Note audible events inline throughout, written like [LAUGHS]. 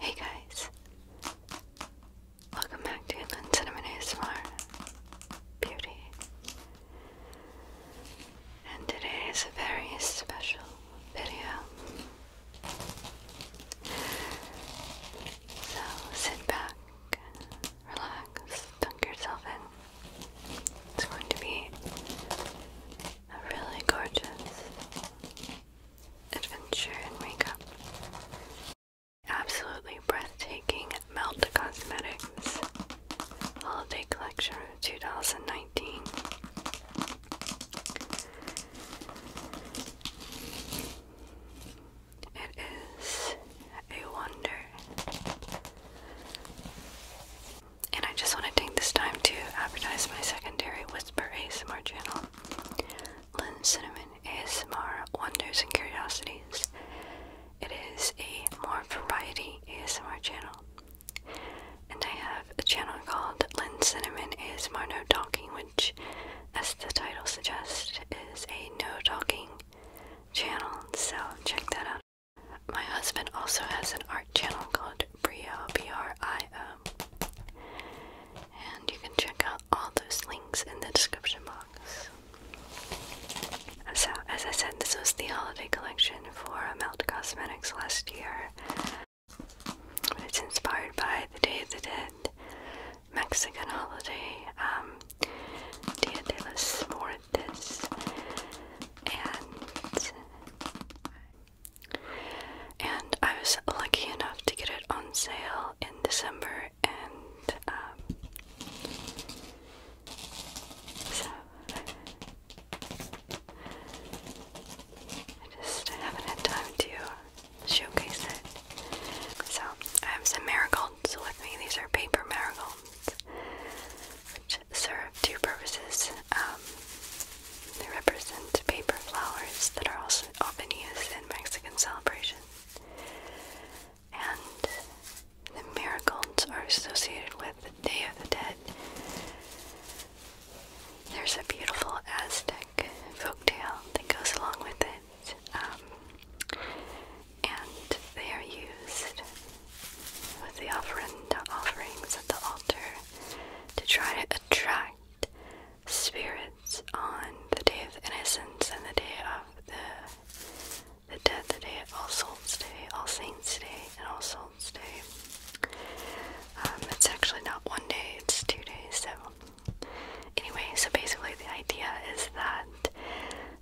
Hey guys, welcome back to Inland Cinnamon ASMR Beauty. And today is a very special video. So sit back, relax, dunk yourself in. It's going to be really gorgeous adventure and makeup. Absolutely breathtaking Melt Cosmetics Holiday Collection of 2019. It is a wonder. And I just want to take this time to advertise my secondary Whisper ASMR channel. Lynn Cinnamon ASMR Wonders and Curiosities. It is a more variety ASMR channel. And I have a channel called Lynn Cinnamon ASMR No Talking, which, as the title suggests, is a no talking channel. So check that out. My husband also has an art channel called at Brio, B R I O. And you can check out all those links in the description box. So, as I said, this was the holiday collection for Melt Cosmetics last year. It's inspired by the Day of the Dead Mexican holiday, um, Dia de los Muertos. And and I was lucky enough to get it on sale in December, and um, so I just haven't had time to showcase it. So I have some marigolds with me. These are paper marigolds, which serve two purposes. Um, they represent paper flowers that are also often used in Mexican celebrations. And the marigolds are associated with the Day of the Dead. There's a beautiful Aztec folktale that goes along with it, um, and they are used with the offering, the offerings at the altar to try to attract spirits on the day of innocence and the day of the the death, the day of All Souls Day, All Saints Day, and All Souls Day. it's um, actually not one day, it's two days, so anyway, so basically the idea is that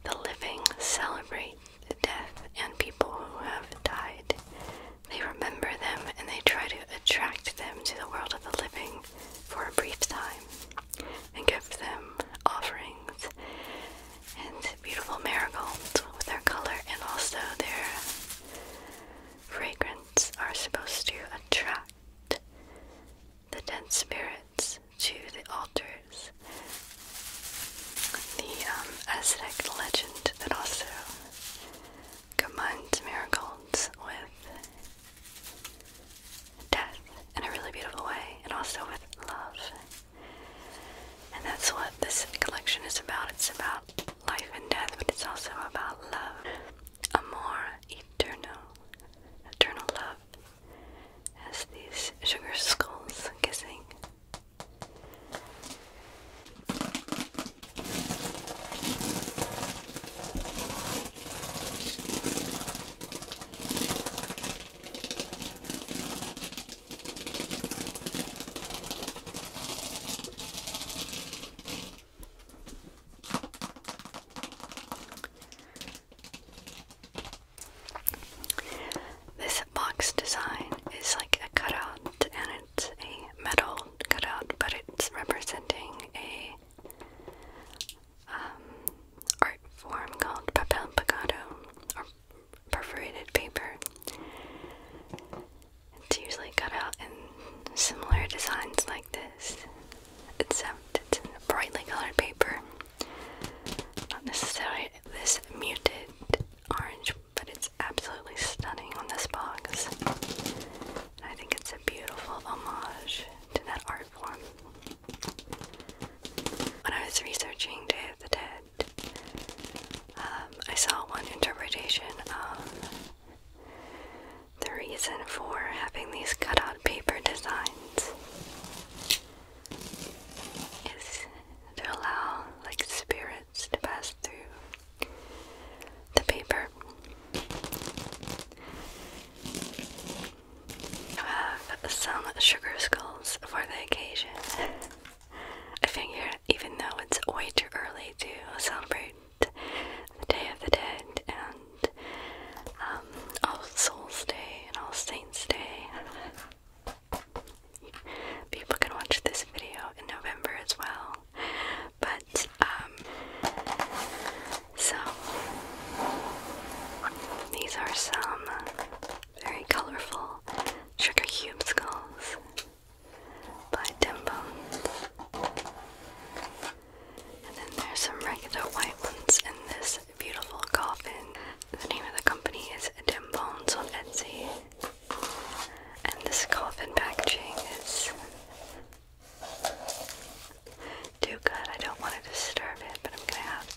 the living celebrate the death and people who have died they remember them and they try to attract them to the world of the living for a brief time and give them offerings and beautiful marigolds with their color and also their fragrance are supposed to attract the dead spirits to the altars. The um, Aztec legend that also combines miracles with death in a really beautiful way and also with love. And that's what this collection is about. It's about life and death, but it's also about love. Amor eternal. Eternal love. As these sugar skulls kissing. This box design is like a cutout and it's a metal cutout, but it's representing a um, art form called papel picado or perforated paper. It's usually cut out in similar designs like this, except it's in brightly colored paper. Not necessarily this muted orange, but it's absolutely stunning on this box. I think it's a beautiful homage to that art form. When I was researching Day of the Dead, um, I saw one interpretation of the reason for having these cutout paper designs is to allow like spirits to pass through the paper. I have some sugar skulls for the occasion. [LAUGHS] I figure, even though it's way too early to celebrate the Day of the Dead and um, All Souls Day and All Saints Day, [LAUGHS] people can watch this video in November as well. But um, so these are some very colorful sugar cube skulls by Dim Bones. And then there's some regular white ones in this beautiful coffin. The name of the company is Dim Bones on Etsy. And this coffin packaging is do good. I don't want to disturb it, but I'm gonna have to.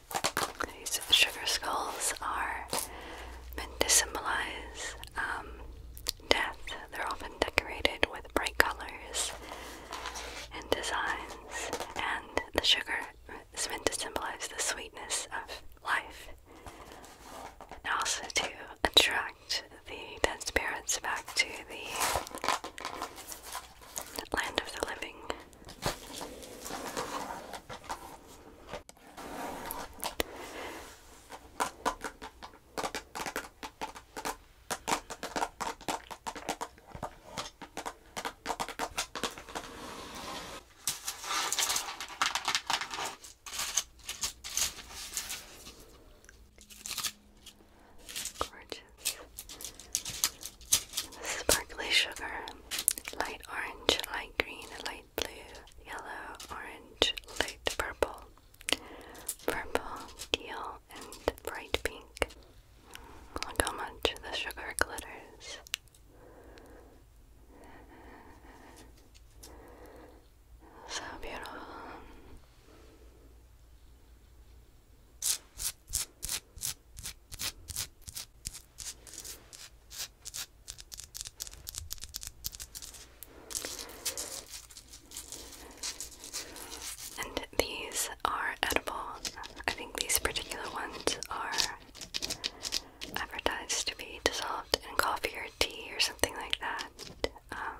These sugar skulls are meant to symbolize um, death. They're often decorated with bright colors and designs, and the sugar is meant to symbolize the sweetness of life and also to attract the dead spirits back to the land of the living. Gorgeous. And sparkly sugar light orange, light green, light blue, yellow, orange, light purple, purple, teal, and bright pink. Look how much the sugar glitters. So beautiful. And these are edible. I think these particular ones are advertised to be dissolved in coffee or tea or something like that. Um,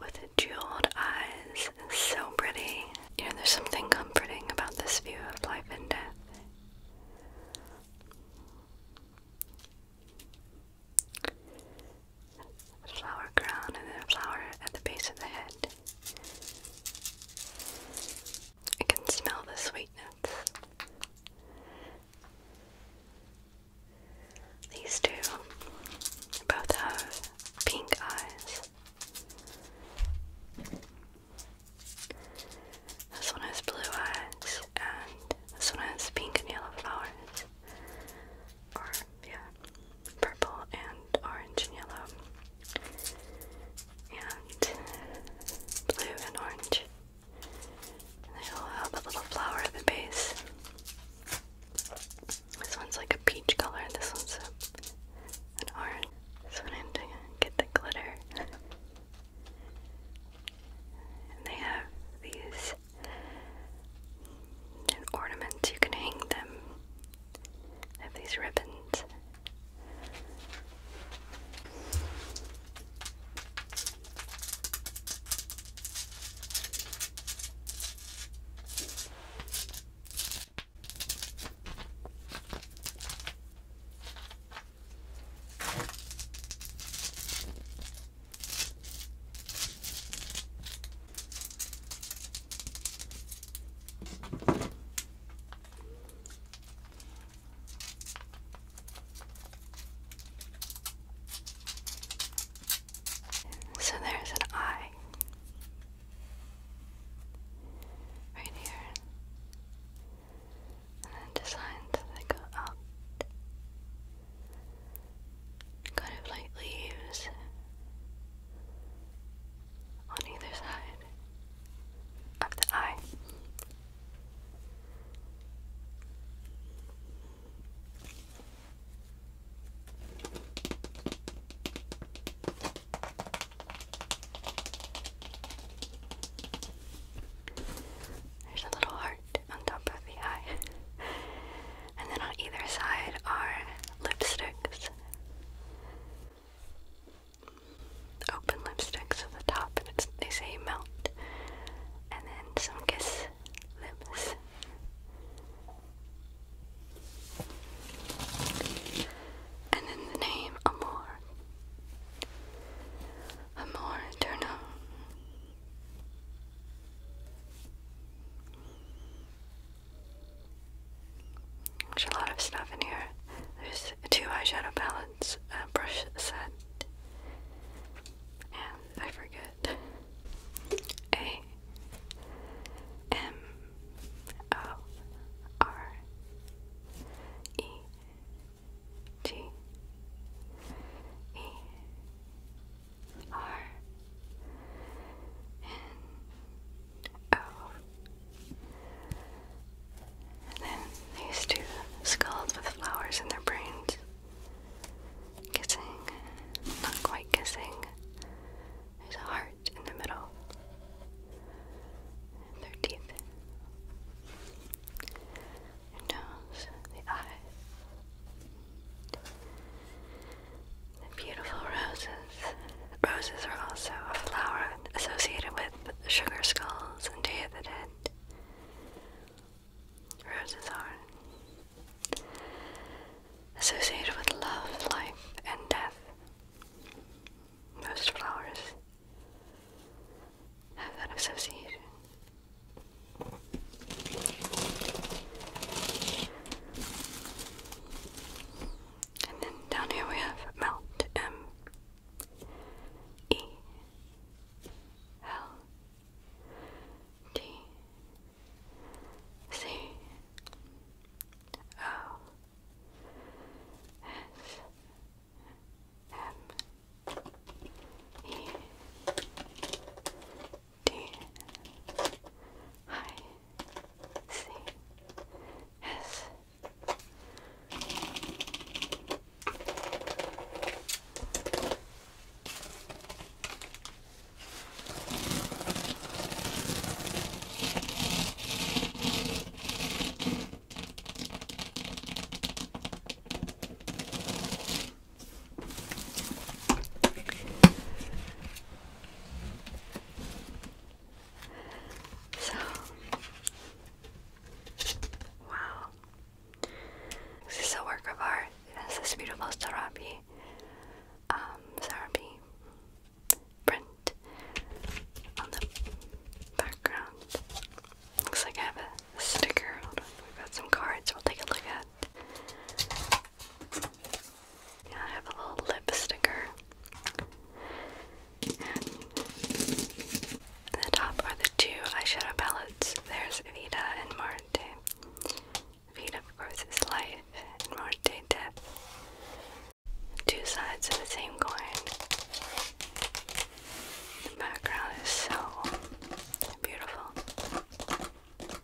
With jeweled eyes, so pretty. You know, there's something comforting about this view of life and death the flower crown and then a flower at the base of the head. I can smell the sweetness. These two both have pink eyes. This one has blue eyes, and this one has pink and yellow flowers or yeah, purple and orange and yellow, and blue and orange. they all have a little flower at the base. This one's like a peach color, this one's an orange. This one's I have to get the glitter. they have these and ornaments. You can hang them. have these ribbons. So there's an eye right here, and then designs that go out kind of like leaves on either side of the eye. There's a little heart on top of the eye. [LAUGHS] And then on either side are lipsticks. Open lipsticks at the top, and it's, they say melt. And then some kiss lips. And then the name Amor. Amor Eterno. There's a lot of stuff in here. There's two eyeshadow palettes, a brush set, and I forget. A M O R E T E R and O. And then these two skulls with flowers in their brains. Kissing. Not quite kissing. There's a heart in the middle. their teeth. nose. The eyes. The beautiful roses. Roses are also a flower associated with sugar skulls and Day of the Dead. Roses are associated with love, life, and death. Most flowers have that association. And then down here we have Mount M E L T C O S M E D I C S wow. This is a work of art. It has this beautiful serape, um, print on the background. Looks like I have a sticker. Hold on, we've got some cards we'll take a look I have a little lip sticker. at the top are the two eyeshadow palettes. There's Vita and Marte. Vita, of course, is life, and Marte, death. Two sides of the same coin. The background is so beautiful.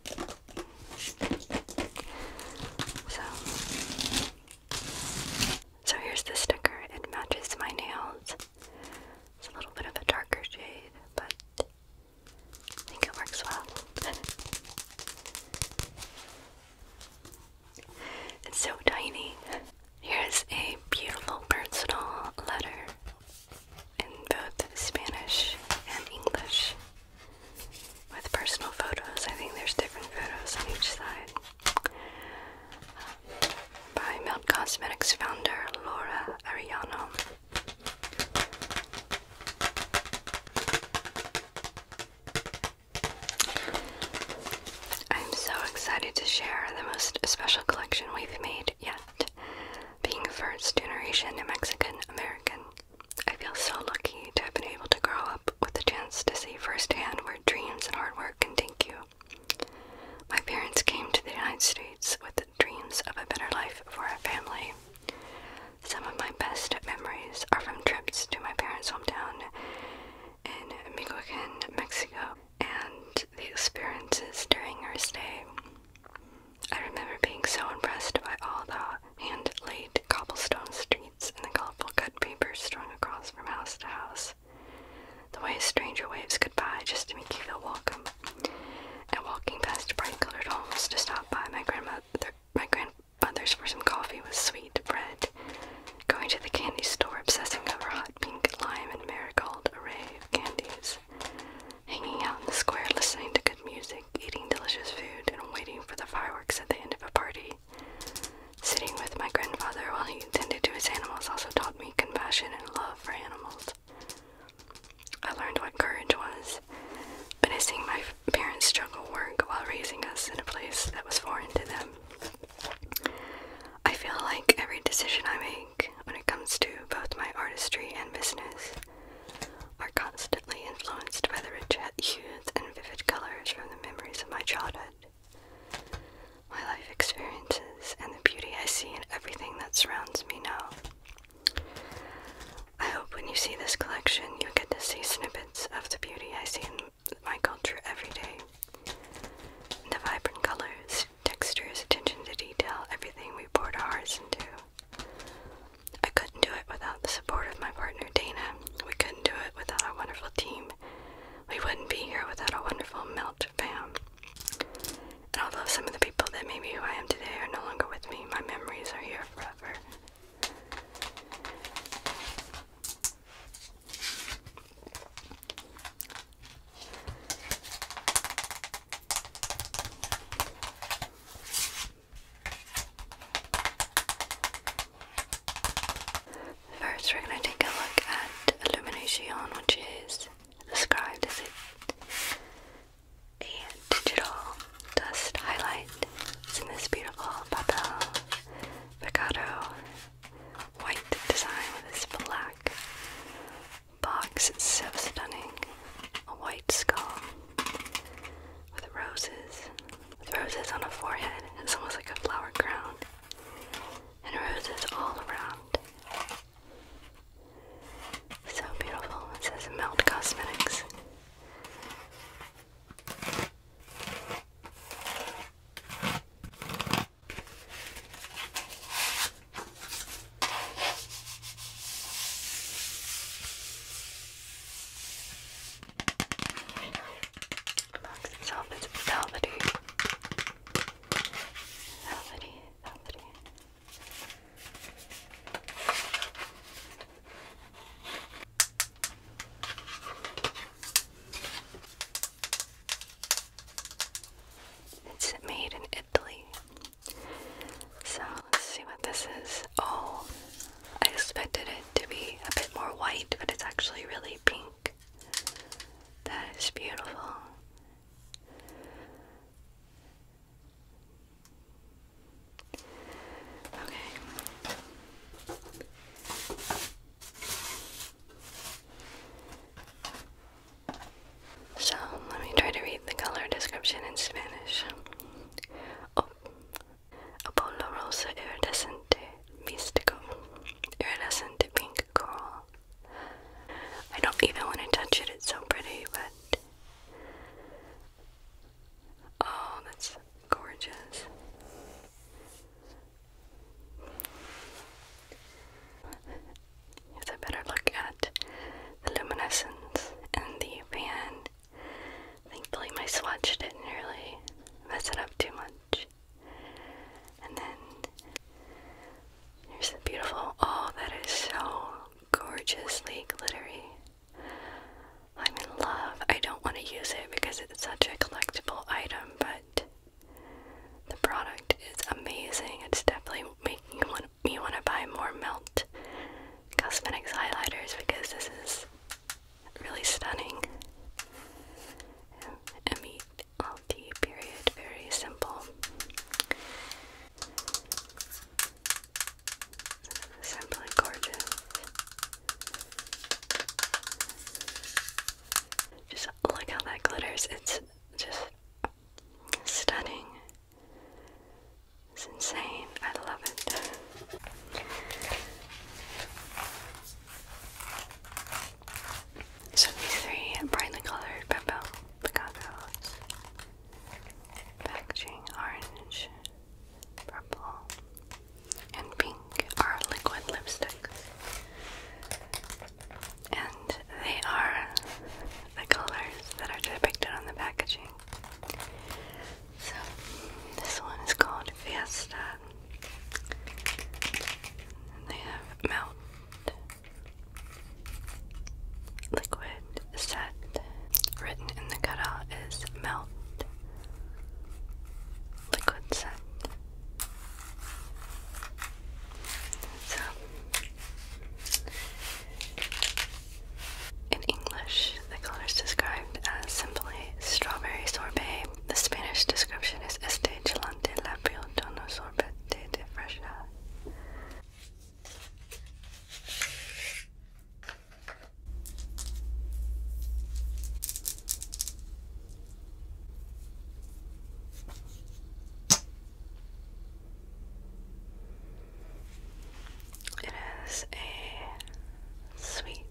So, so here's the sticker. It matches my nails. It's a little bit of a darker shade, but I think it works well. [LAUGHS] it's so tiny. Here's a beautiful personal letter in both Spanish and English with personal photos. I think there's different photos on each side. Um, by Melt Cosmetics founder Laura Ariano. I'm so excited to share the most special collection we've made yet. Being a first generation Mexican American, I feel so lucky to have been able to grow up with the chance to see firsthand where dreams and hard work can take you. My parents came to the United States with dreams of a better life for our family. Some of my best memories are from trips to my parents' hometown in Michoacan, Mexico, and the experiences during our stay. I remember being so impressed by all the hand laid cobblestone streets and the colorful cut papers strung across from house to house. The way a stranger waves goodbye just to make you feel welcome. And walking past bright colored homes to stop by my grandmother my grandmother's for some coffee with sweet bread. Going to the candy store obsessing over hot pink lime and marigold array of candies hanging out in the square, listening to good music, eating delicious food, and waiting for the fireworks at the end of a party. Sitting with my grandfather while he tended to his animals also taught me compassion and love for animals. I learned what courage was, witnessing my parents' struggle work while raising us in a place that was foreign to them. I feel like every decision I make when it comes to both my artistry and business are constantly influenced by the rich hues and vivid colors from the memories of my childhood, my life experiences, and the beauty I see in everything that surrounds me now. I hope when you see this collection, you get to see snippets of the beauty I see in my culture every day. The vibrant colors, textures, attention to detail, everything we pour our hearts into. I couldn't do it without the support of my partner Dana. We couldn't do it without our wonderful team. We wouldn't be here without our wonderful Melt fam. And although some of the people that made me who I am today are no longer with me, my memories are here forever. First, we're going to take a look at illumination, which is described as a, digital dust highlight. It's in this beautiful Papel Picado white design with this black box. It's so stunning. A white skull with roses. roses on a forehead. It's almost like a flower crown. And roses all around. So beautiful. It says Melt Cosmetics. The box itself is It's made in so let's see what this is. Oh, I expected it to be a bit more white, but it's actually really pink. That is beautiful. Okay. So let me try to read the color description in Spanish. Oh, Apollo rosa Iridescent pink coral. I don't even want to touch it, it's so pretty, but. Oh, that's gorgeous. Here's a better look at the luminescence and the pan. Thankfully, my swatch didn't really mess it up too much. And then here's the beautiful, oh, that is so gorgeously glittery. I'm in love. I don't want to use it because it's such a collectible item, but the product is amazing. It's definitely making me want you want to buy more Melt Cosmetics highlighters because this is really stunning. M E L T period, very simple. Simply gorgeous. Just look how that glitters. It's just stunning. It's insane. I love it. So these three brightly colored Beppo Packaging orange, purple, and pink are liquid lipsticks. And they are the colors that are depicted on the packaging. So, this one is called Fiesta. they have melt, liquid, set. Written in the cutout is melt, liquid set. So, in English, the color is described as simply strawberry sorbet. The Spanish description is este gelante labio tono sorbete de fresa. It is a sweet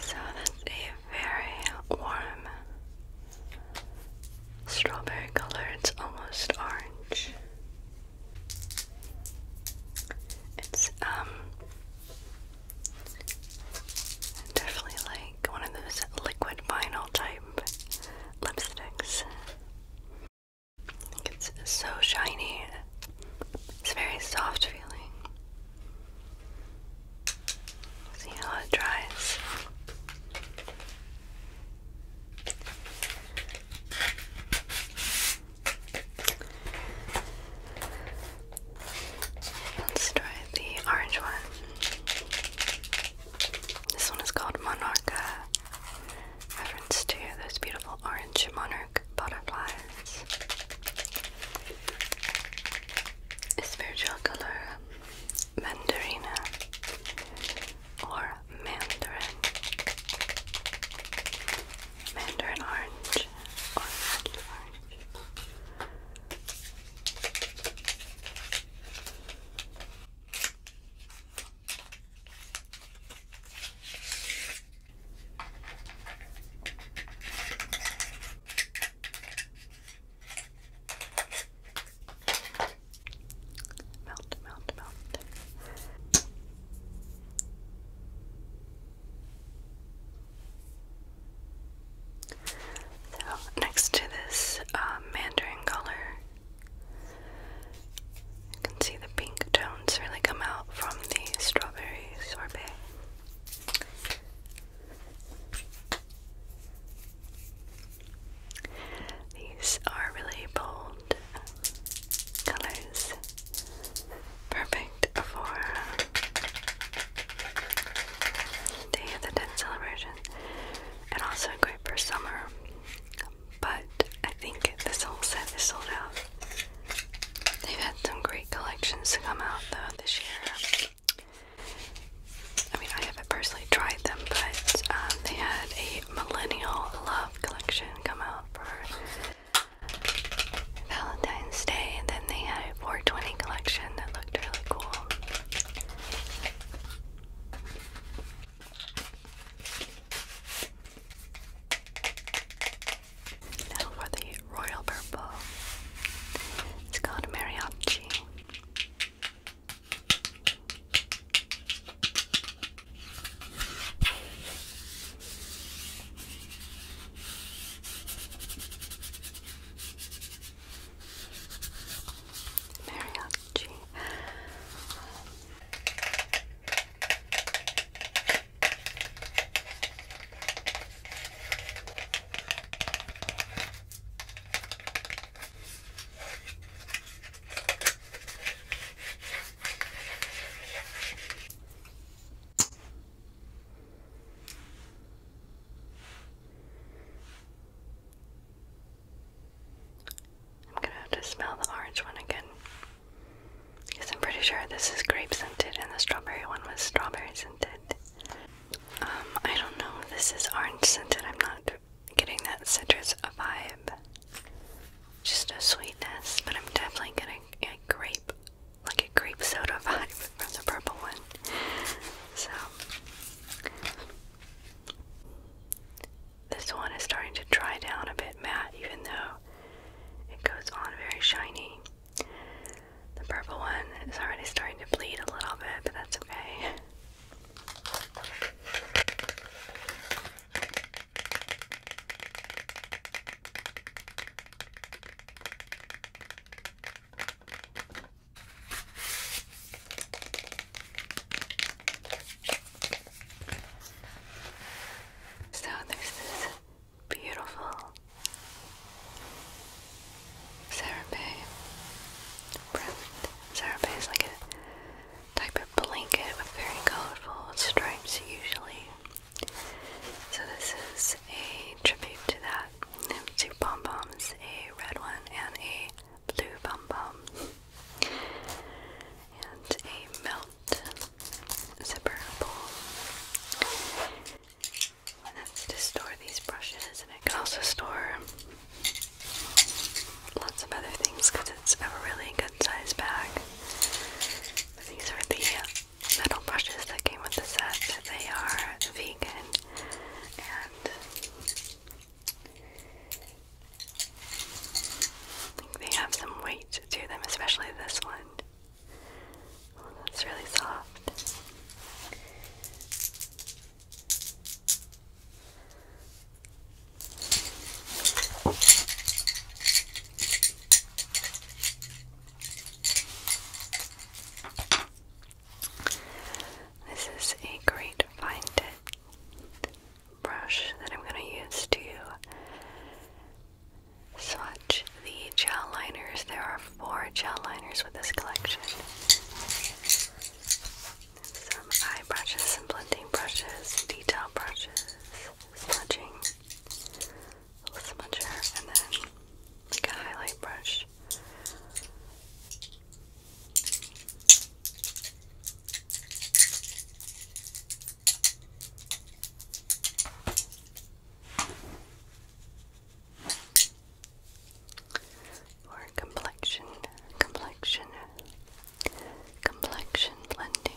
so that's a very warm strawberry color, it's almost orange. It's um definitely like one of those liquid vinyl type lipsticks. It's so shiny. It's very soft feeling. See how it dries. Let's try the orange one. This one is called Monarcha, uh, reference to those beautiful orange monarch butterflies. A spiritual color mandarina or mandarin, mandarin orange or mandarin orange. Melt, melt, melt. So, next to this um, mandarin color, you can see the pink tones really come out from the strawberry sorbet. These are really bold colors, perfect for Day of the Dead celebration, and also great for summer. But I think this whole set is sold out. They've had some great collections to come out though this year. I mean, I haven't personally tried them, but um, they had a millennial love collection come out for Valentine's Day, and then they had a 420 collection that looked really cool. Now for the royal purple. It's called mariachi. Mariachi. I'm gonna have to smell the orange one again. Because I'm pretty sure this is grape scented and the strawberry one was strawberry scented. Um, I don't know. This is orange scented. I'm not getting that citrus vibe. Just a sweetness, but I'm definitely getting a grape, like a grape soda [LAUGHS] vibe from the purple one. So, this one is starting to dry down a bit matte, even though it goes on very shiny. The purple one is already starting to bleed a little bit, but that's okay. So there's this beautiful Serape. Serape is like a type of blanket with very colorful stripes usually. So this is a tribute to that. Two pom poms, a red one and a blue pom pom, and a melt zipper pull. And that's to store these brushes, and I can also store lots of other things because it's a really good size bag. These are the metal brushes that came with the set. They are vegan and I think they have some weight to them, especially this one. Oh, that's really soft. This is a great find. tip brush that I'm going to use to swatch the gel liners. There are four gel liners with this collection some eye brushes, some blending brushes, detail brushes, smudging, a little smudger, and then like a highlight brush or complexion, complexion, complexion blending.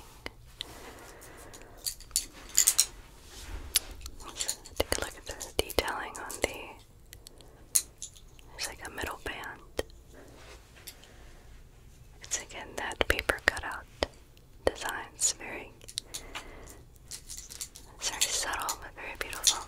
take a look at the detailing on the. There's like a middle band. It's again that paper cutout designs very it's very subtle but very beautiful.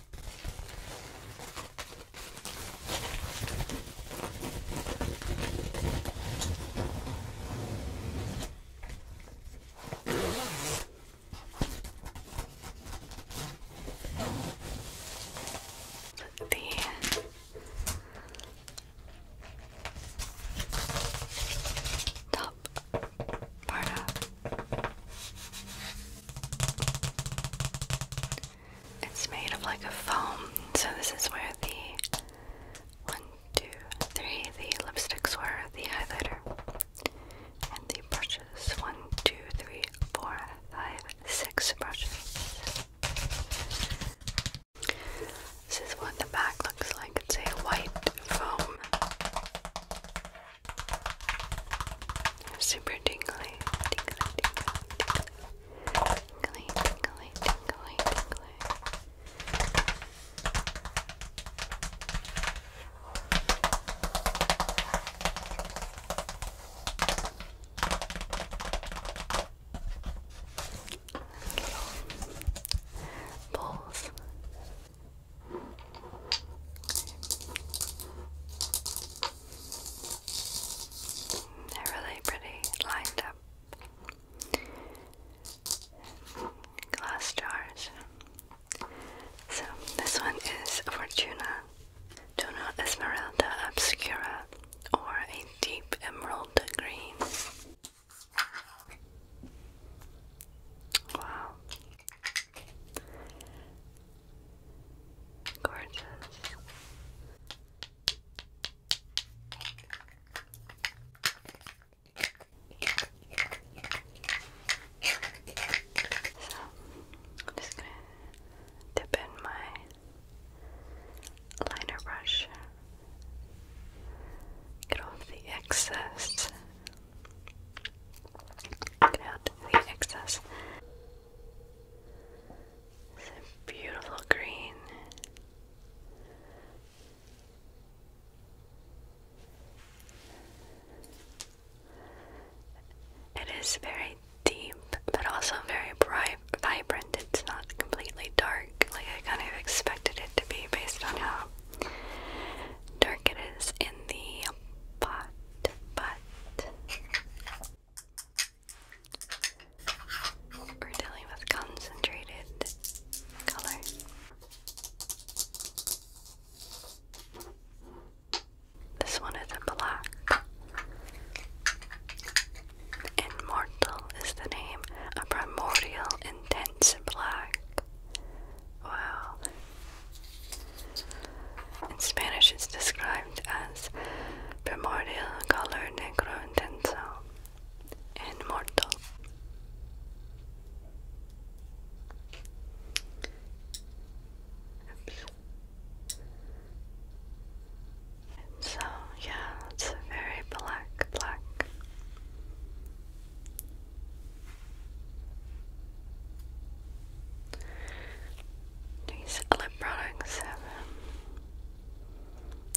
The top it's made of like a foam, so this is where the one, two, three, the lipsticks were, the highlighter, and the brushes. One, two, three, four, five, six brushes. This is what the back looks like. It's a white foam. Super tingly, tingly, tingly, tingly, tingly, tingly, tingly, tingly. Little balls they're really pretty lined up glass jars. So this one is Fortuna. Tuna Esmeralda Obscura or a deep emerald green. Wow, Gorgeous. So, I'm just gonna dip in my liner brush, get off the excess Get out the excess. It's beautiful green. It is very deep, but also very bright, vibrant. It's not completely dark, like I kind of expected it to be based on how dark it is in the pot but we're dealing with concentrated color. This one is a black. Immortal is the name, a primordial intense black. Wow. In Spanish, it's described as primordial color negro intenso and mortal. So, yeah, it's very black, black. These lip products have um,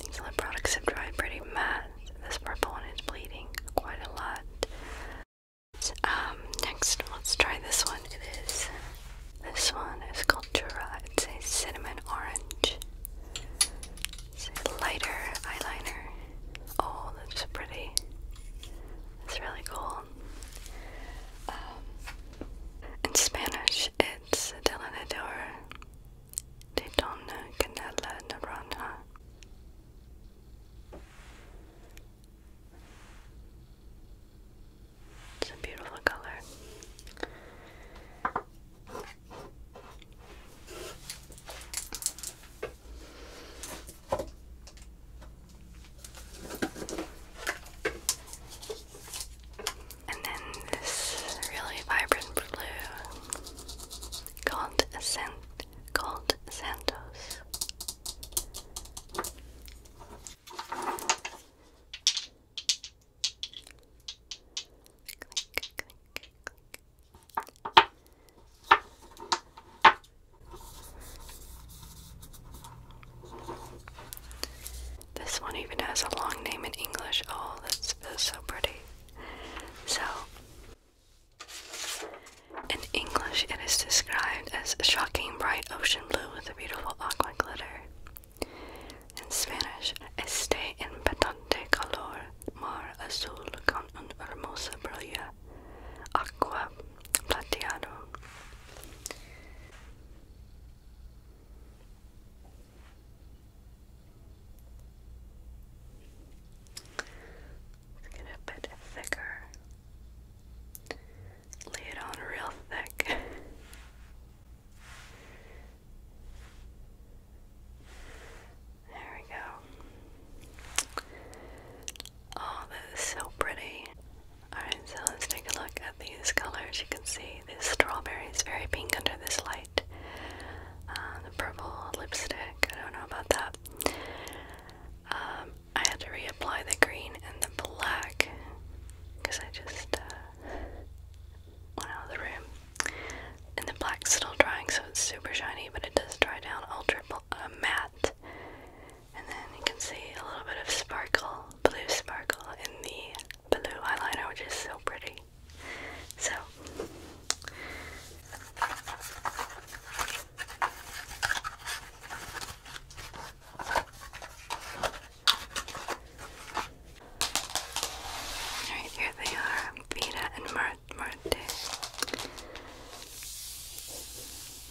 these lip products have dried pretty matte. This purple one is bleeding quite a lot. Um, next, let's try this one. It is this one is called Jura. It's a cinnamon orange. It's a lighter eyeliner. Oh, that's pretty. It's really cool. Um, in Spanish, it's Delineador de Dona Canela Naranja. It's a beautiful color. And then this really vibrant blue called Ascent called Santos. This one even has a long name in English. Oh, that's, so pretty. So, in English, it is described as shocking bright ocean blue with a beautiful aqua glitter. In Spanish, este impactante color mar azul con un hermosa brilla Aqua Plateado. Let's get a thicker. Lay it on real thick. [LAUGHS] there we go. Oh, that is so pretty. Alright, so let's take a look at these colors. You can see this strawberry is very pink under this light. Uh, the purple lipstick, I don't know about that. Um, I had to reapply the green and the black because I just uh, went out of the room. And the black's still drying, so it's super shiny, but it does dry down ultra uh, matte. And then you can see a little bit of sparkle, blue sparkle in the blue eyeliner, which is so pretty. So, Alright, here they are, Vita and Marte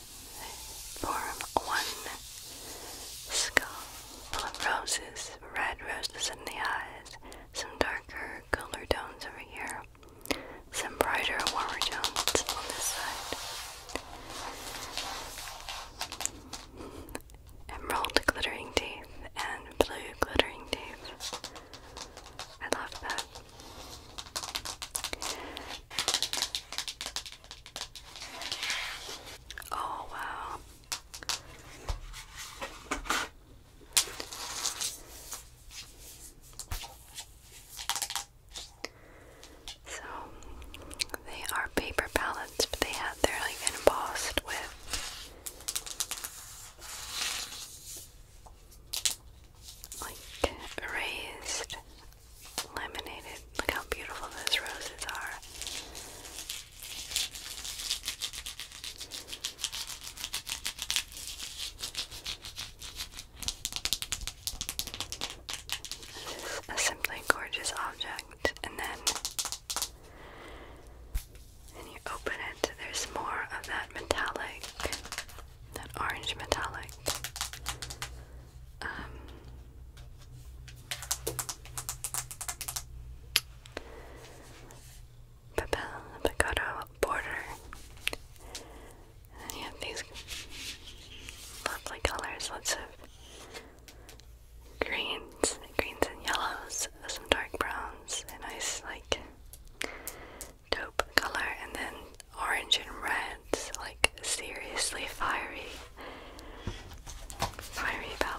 form one skull full of roses, red roses in the eyes, some darker color tones over here, some brighter, warmer tones on this side. Emerald glittering teeth and blue glittering teeth. I love that. Oh, wow. So they are paper palettes, but they have they're like embossed with like raised laminated. Look how beautiful those roses are. This is a simply gorgeous object, and then and you open it, there's more of that metallic that orange metallic. Um, Papel Picotto border. And you have these lovely colors, lots of greens, greens and yellows, some dark browns, and nice like taupe color, and then orange and red, like seriously fiery, fiery palette.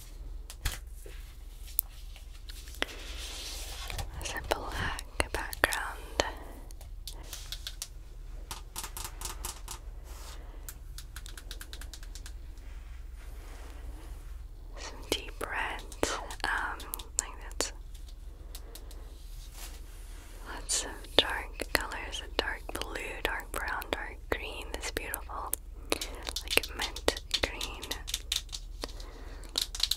There's a black background. Some deep red, um, like that's lots of dark colors, dark blue, dark brown, dark green. It's beautiful. Like mint green.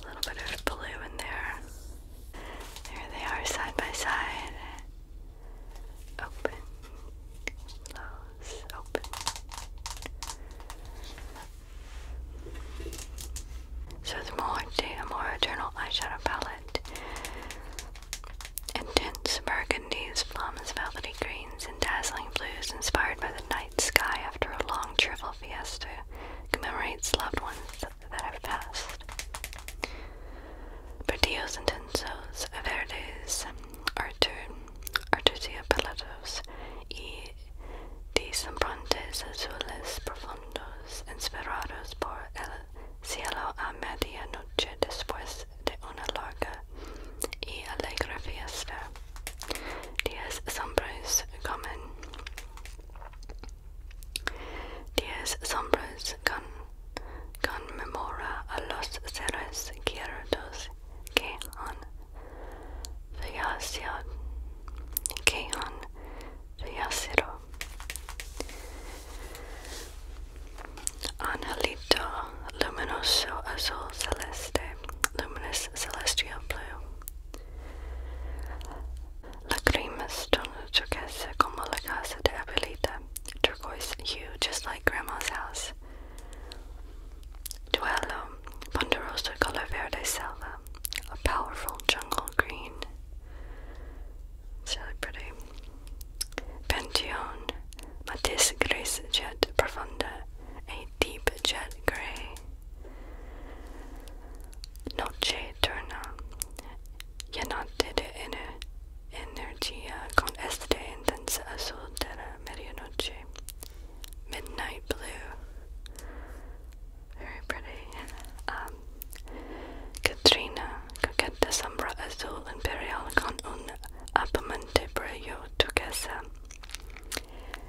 A little bit of blue in there. There they are side by side. Open, close, open. So it's more a more eternal eyeshadow palette. Intense burgundy. Good news, velvety greens and dazzling blues, inspired by the night sky after a long cheerful fiesta, commemorates loved ones that have passed. Perdidos intensos, verdes, artur, arturciopelatos, y deslumbrantes azules profundos, inspirados por el cielo a medianoche después de una larga y alegre fiesta. Diez sombras comen. Diez sombras con, conmemora a los seres queridos que han fallecido. Que han fallecido. Angelito Luminoso Azul Celeste, Luminous Celestial Blue. Lagrimas tono turquesa como la casa de abuelita, turquoise hue just like grandma's house. Duelo ponderoso color verde selva, a powerful jungle green. really pretty. Pantheon Matisse Grace Jet Profunda a deep jet grey. Uh, uh, Noche eterna. Llenante de ener energía con este intenso azul de la medianoche. Midnight blue. Very pretty. Um, Katrina, coqueta sombra azul imperial con un Apamantebrayo turquesa,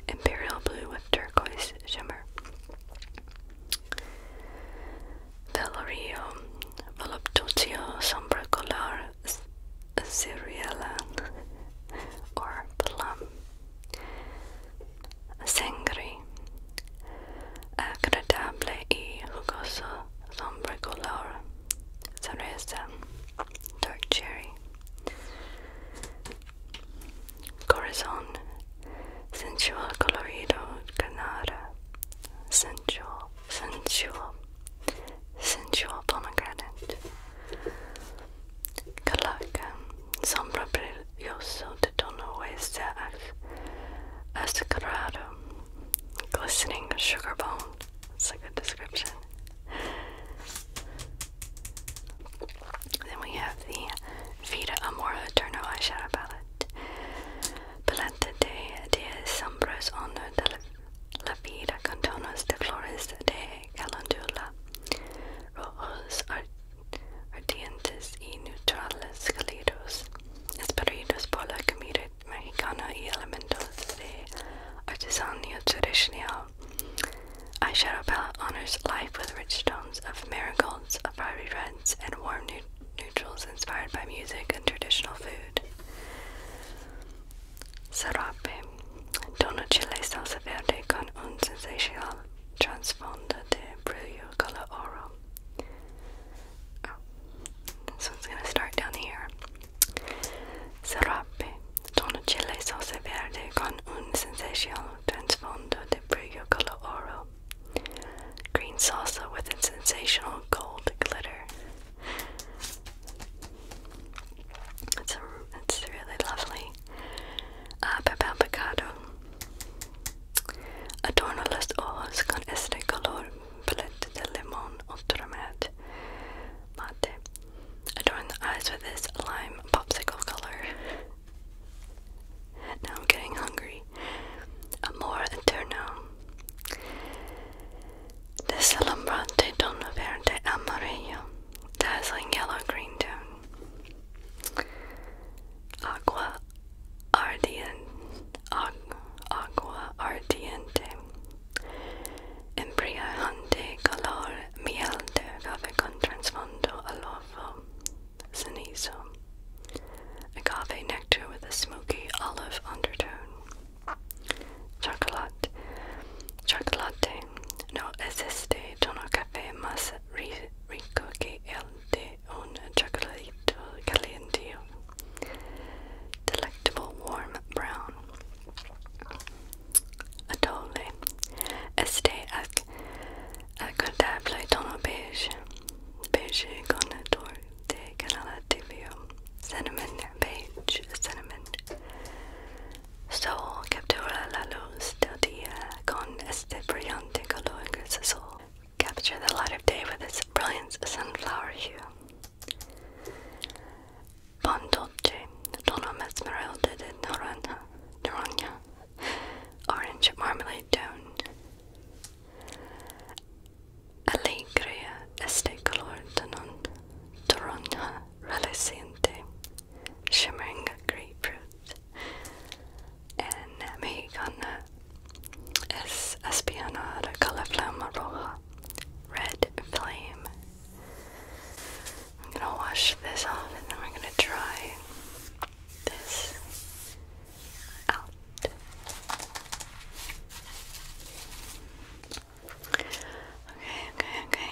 imperial blue with turquoise shimmer. Valerio voluptuoso sombra color cereala or plum. Sangre, agradable y jugoso sombra cereza dark cherry, corazon, sensual colorido, canara, sensual, sensual, sensual pomegranate, calaca, sombra brilloso de tono oeste as, ascarado, glistening sugar bone, it's a good description. Then we have the Vita Amor Eterno eyeshadow palette. Palette de, de sombras honor de la, vida, contonos de flores de calendula, rojos ardientes y neutrales, cálidos, esperidos por la mexicana y elementos de artesanía tradicional. Eyeshadow palette honors life with rich tones of marigolds, of fiery reds, and warm neutrals inspired by music and traditional food. Serape Tono chile salsa verde con un sensational transfondo de brillo color oro. Oh, this one's gonna start down here. Serrape, Don Chile Verde con un sensational transfondo de brillo color oro. Green salsa with a sensational gold glitter. It's, really lovely. Uh, papel picado. Adorna las hojas con este color palette de limón ultramat mate. Adorn the eyes with this lime popsicle color. now I'm getting hungry. Amor eterno. Desalumbrante tono verde amarillo. Dazzling yellow green tone. Aqua ardiente. Embriagante calor, miel de agave con trasfondo oloroso, cenizo. Agave nectar with a smoky olive undertone. Chocolate. Chocolate. No existe tono café más rico que el de un chocolatito caliente. Delectable warm brown atole este uh, ac acordable tono beige beige conador de canalativo cinnamon beige cinnamon sol captura la luz del día con este brillante color gris sol capture the light of day with its brilliant sunflower hue Pandolce, Dona Esmeralda de Naranja, dorona, Orange Marmalade Down, Alegria este color tanon, Toronja reliciente, Shimmering Grapefruit, and Mexicana es espiñada, color Calaflama Roja, Red Flame, I'm gonna wash this off and then we're gonna dry this out. okay, okay. Okay,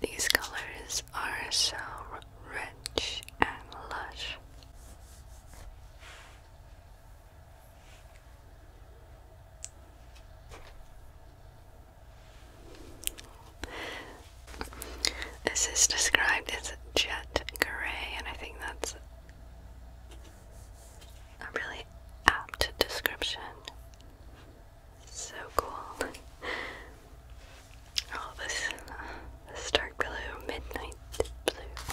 These colors are so rich and lush. This is described as jet gray, and I think that's a really apt description. So cool. Oh, this, this dark blue, midnight blue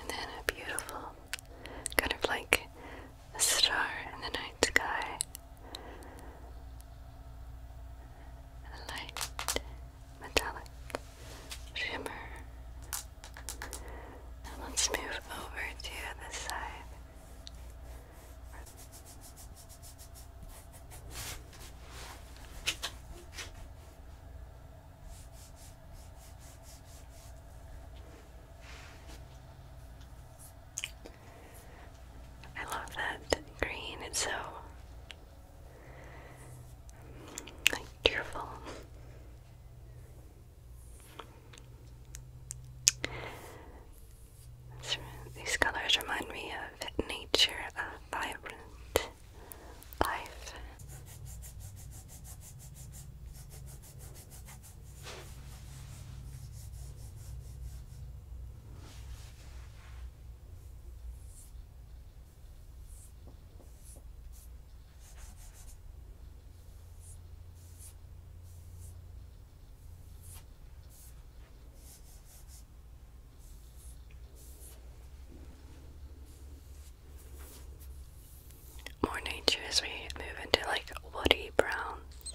and then a beautiful, kind of like a star in the night sky, light metallic shimmer let's move over to the side. I love that green, it's so like These colors remind me of nature, vibrant life. More nature as we move into like woody browns.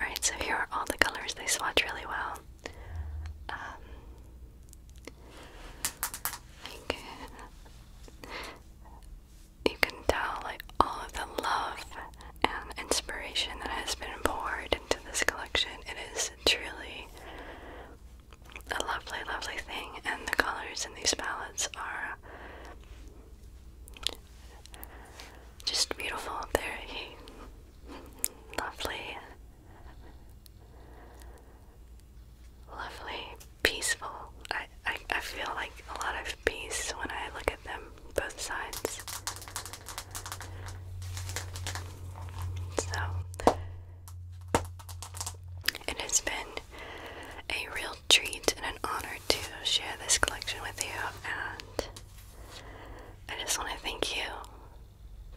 Alright, so here are all the colors. They swatch really well. Um, you can tell like all of the love and inspiration that has been poured into this collection. It is truly a lovely, lovely thing, and the colors in these palettes are just beautiful, very lovely, lovely, peaceful. I, I, I feel like a lot of peace when I look at them, both sides. So, it has been a real treat and an honor to share this collection with you. And I just want to thank you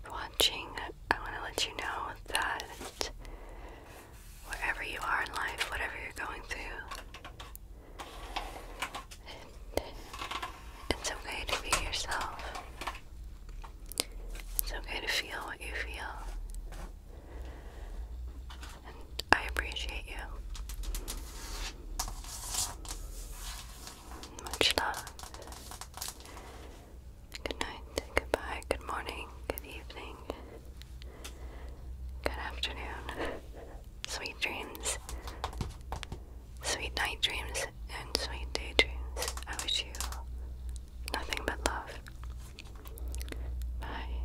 for watching. I want to let you know that wherever you are in life, whatever you're going through, it's okay to be yourself. It's okay to feel what you feel. I appreciate you. Much love. Good night, goodbye, good morning, good evening, good afternoon. Sweet dreams, sweet night dreams, and sweet day dreams. I wish you nothing but love. Bye.